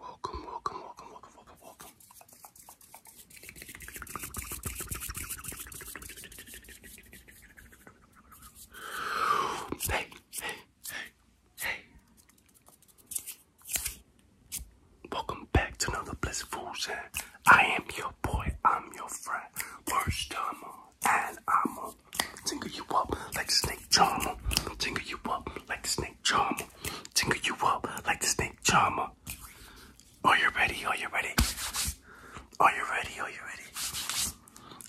Welcome, welcome, welcome, welcome, welcome, welcome. Hey, hey, hey, hey. Welcome back to another Blessed Fools. Eh? I am your boy, I'm your friend. Worst time and I'ma um, tingle you up like the snake charmer. Tingle you up like the snake charmer. Tingle you up like the snake charmer. Are you ready? Are you ready? Are you ready? Are you ready?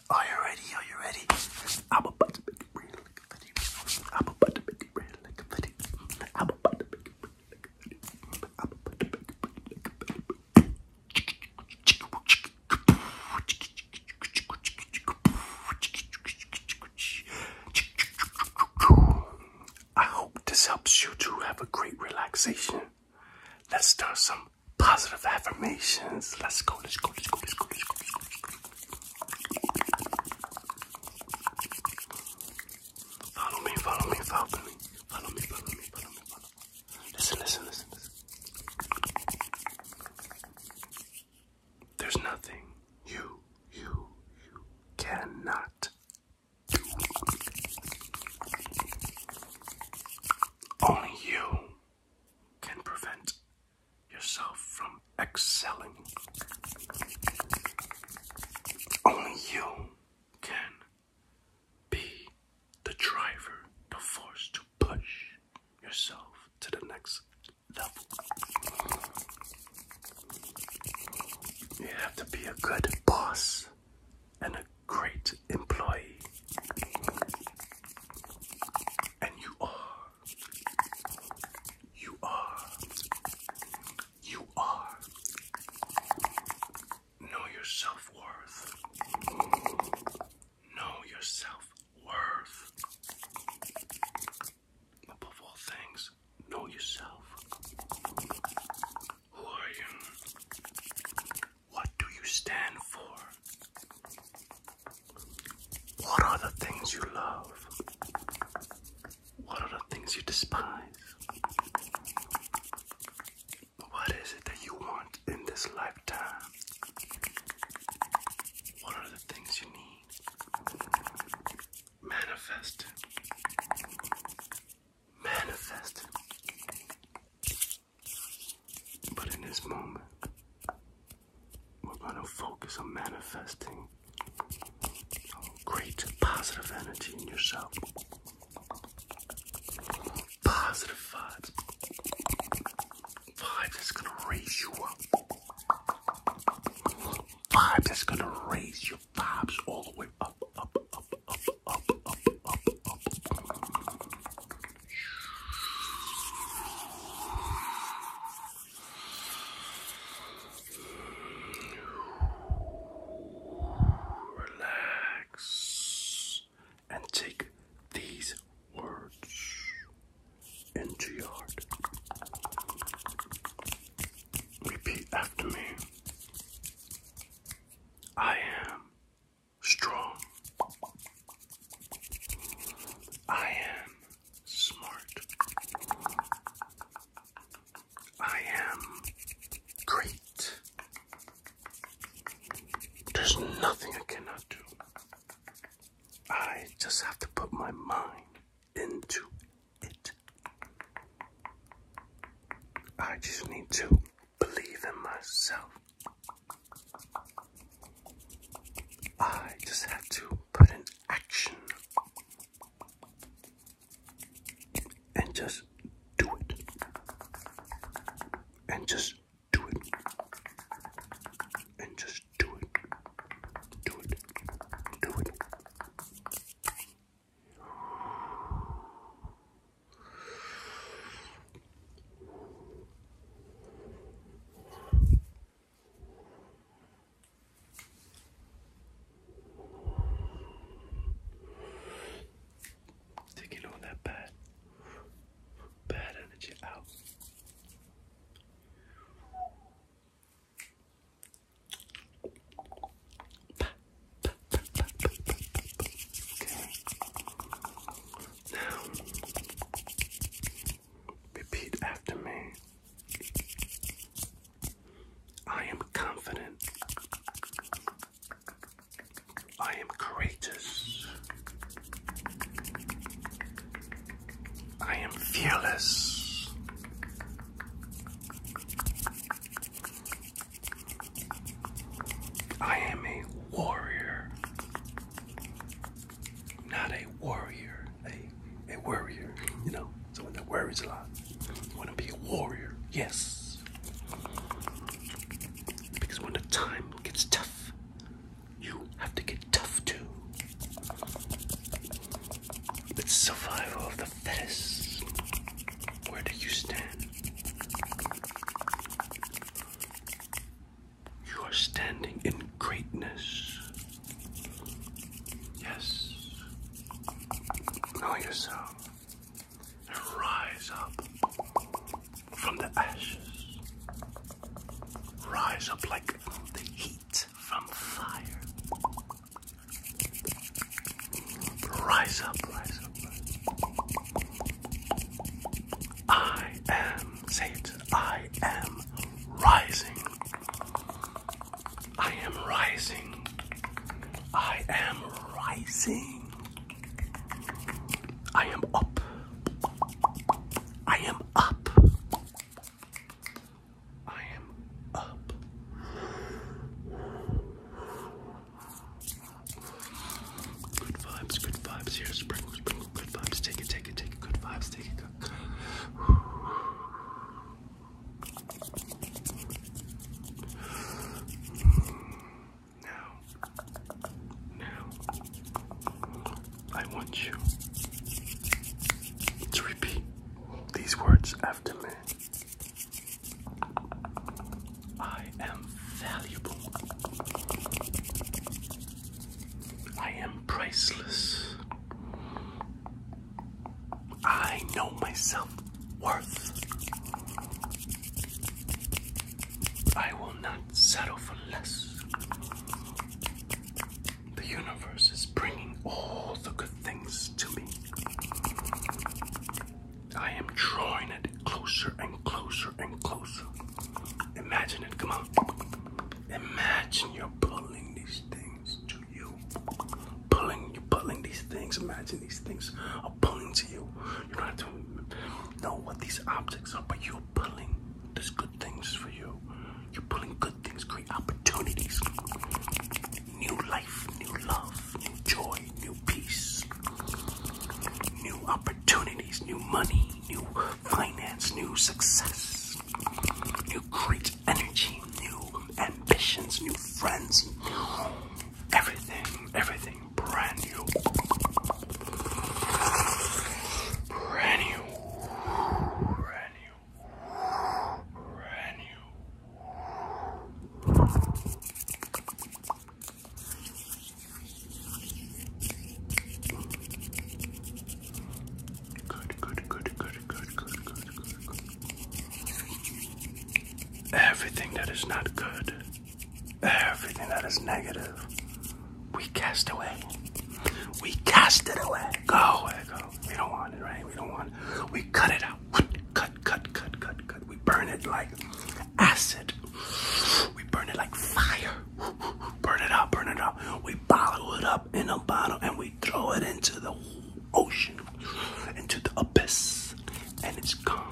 Are you ready? Are you ready? I'm about to make it real like a video. I'm about to make it real like a video. I'm about to make it real like a video. I'm about to make it real like a video. I hope this helps you to have a great relaxation. Let's start some positive affirmations. Let's go, let's go, let's go, let's go, follow me, follow me, follow me, follow me, follow me, follow me. Listen, listen, listen, There's nothing you, you, you cannot do. Only you can prevent yourself from excelling. Only you can be the driver, the force to push yourself to the next level. You have to be a good boss and a great employee. And you are. You are. You are. Know your self worth. Know your worth. Above all things, know yourself. Who are you? What do you stand for? What are the things you love? What are the things you despise? What is it that you want in this lifetime. What are the things you need? Manifest Manifest But in this moment, we're going to focus on manifesting great positive energy in yourself. Positive thoughts. Vibes that's gonna raise you up. Vibes that's gonna raise your vibes all the way up, up, up, up, up, up, up, up. Relax and take these words into your heart. Repeat after me. I am strong. I am smart. I am great. There's nothing I cannot do. I just have to put my mind into it. I just need to believe in myself. I just have to put in action and just do it and just do it. And just do it. Do it. Do it. Take it on that bad bad energy out. repeat after me. I am confident. I am courageous. I am fearless. I am a warrior. Not a warrior, a, a worrier, you know, someone that worries a lot. You want to be a warrior, yes. Because when the time gets tough, you have to get tough too. It's survival of the fittest. Where do you stand? You are standing in greatness. Yes. Know yourself and rise up from the ashes, rise up like the heat from fire. Rise up, rise up. I am, say it, I am rising. I am rising. I am rising. I am up. I am up. I am up. Good vibes, good vibes here. Sprinkles. sprinkle, good vibes. Take it, take it, take it. Good vibes, take it. Good. Now, now, I want you to repeat these words after me. I am valuable. I am priceless. I know myself worth. I will not settle for less. The universe is bringing all the good things to me. I am drawing it closer and closer and closer. Imagine it, come on. Imagine you're pulling these things to you. Pulling, you're pulling these things. Imagine these things are pulling to you. You don't have to know what these objects are, but you're pulling these good things for you. You're pulling good things, great opportunities, new life, new love, new joy, new peace, new opportunities, new money, new finance, new success, new great energy, new ambitions, new friends, everything, everything, brand new. Brand new. Brand new. Brand new. Good, good, good, good, good, good, good, good, Everything that is not good everything that is negative, we cast away. We cast it away. Go away, go. We don't want it, right? We don't want We cut it out. Cut, cut, cut, cut, cut. We burn it like acid. We burn it like fire. Burn it up, burn it up. We bottle it up in a bottle and we throw it into the ocean, into the abyss, and it's gone.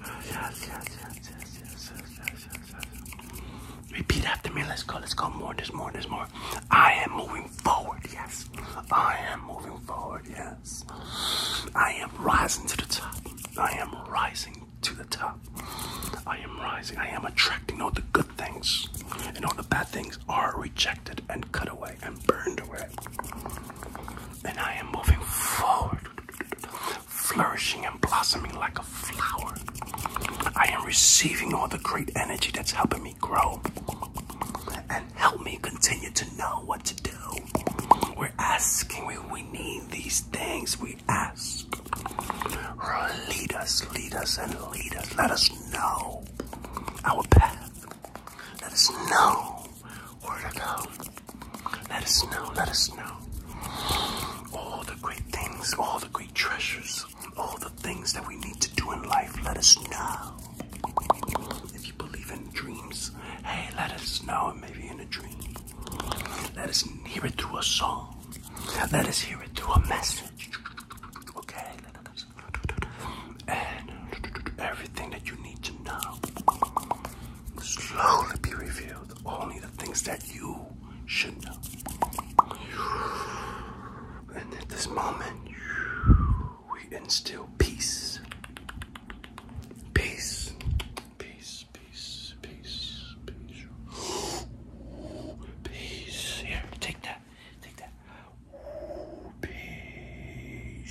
yes, yes, yes, yes, yes, yes, yes, yes, yes. Repeat after me. Let's go. Let's go. More. There's more. There's more. I am moving forward. Yes. I am moving forward. Yes. I am rising to the top. I am rising to the top. I am rising. I am attracting all the good things, and all the bad things are rejected and cut away and burned away. And I am moving forward flourishing and blossoming like a flower. I am receiving all the great energy that's helping me grow and help me continue to know what to do. We're asking, we, we need these things. We ask. Lead us, lead us, and lead us. Let us know our path. Let us know where to go. Let us know, let us know. All the great things, all the great treasures, all the things that we need to do in life, let us know. If you believe in dreams, hey, let us know, maybe in a dream. Let us hear it through a song. Let us hear it through a message. Okay? Let us. And everything that you need to know slowly be revealed. Only the things that you should know. And at this moment, we instill peace. Peace. Peace, peace, peace, peace. Here, take that. Take that. Peace.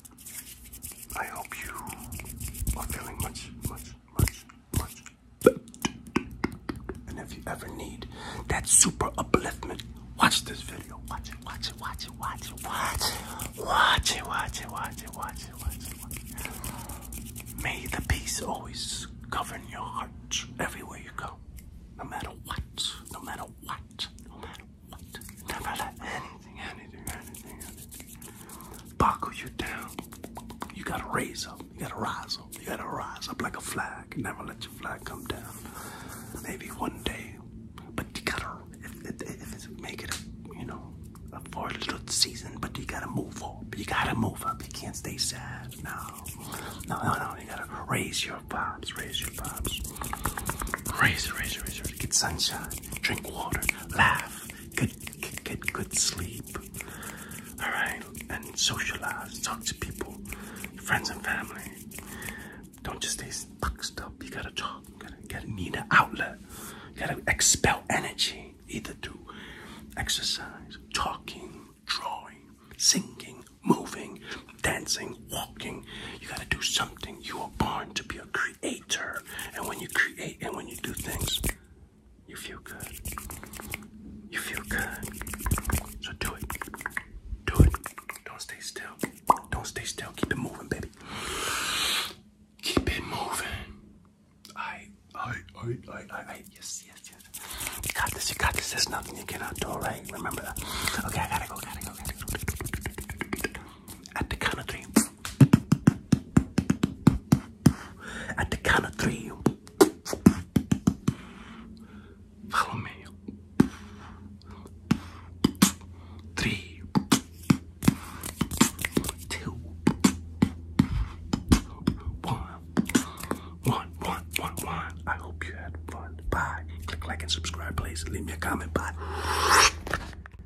I hope you are feeling much, much, much, much better. And if you ever need that super upliftment, watch this video. Watch it, watch it, watch it, watch it, watch it. Watch it, watch it, watch it, watch it, watch it, watch it. May the peace always govern your heart everywhere you go. No matter what, no matter what, no matter what. Never let any anything, Buckle you down. You gotta raise up. You gotta rise up. You gotta rise up like a flag. Never let your flag come down. Maybe one day, but you gotta if, it's make it a, you know a four little season. But you gotta move up. You gotta move up. You can't stay sad. No, no, no, no. You gotta raise your vibes. Raise your vibes. Raise, raise, raise, raise. Get sunshine. Drink water. Laugh get, good sleep. All right, and socialize, talk to people, friends and family. Don't just stay boxed up. You gotta talk. gotta, you gotta need an outlet. gotta expel energy either through exercise, talking, drawing, singing, moving, dancing, walking. You gotta do something. You were born to be a creator creator. And when you create and when you do things, you feel good. You feel good. So do it. Do it. Don't stay still. Don't stay still. Keep it moving, baby. Keep it moving. I, I, I, I, I, I. Yes, yes, yes. You got this. You got this. There's nothing you cannot do, right? Remember that. Okay, I gotta go. Gotta go. Gotta go. At the count of three. At the count of three, follow me. Three, two, one, one, one, one, one. I hope you had fun. Bye. Click like and subscribe, please. Leave me a comment. Bye.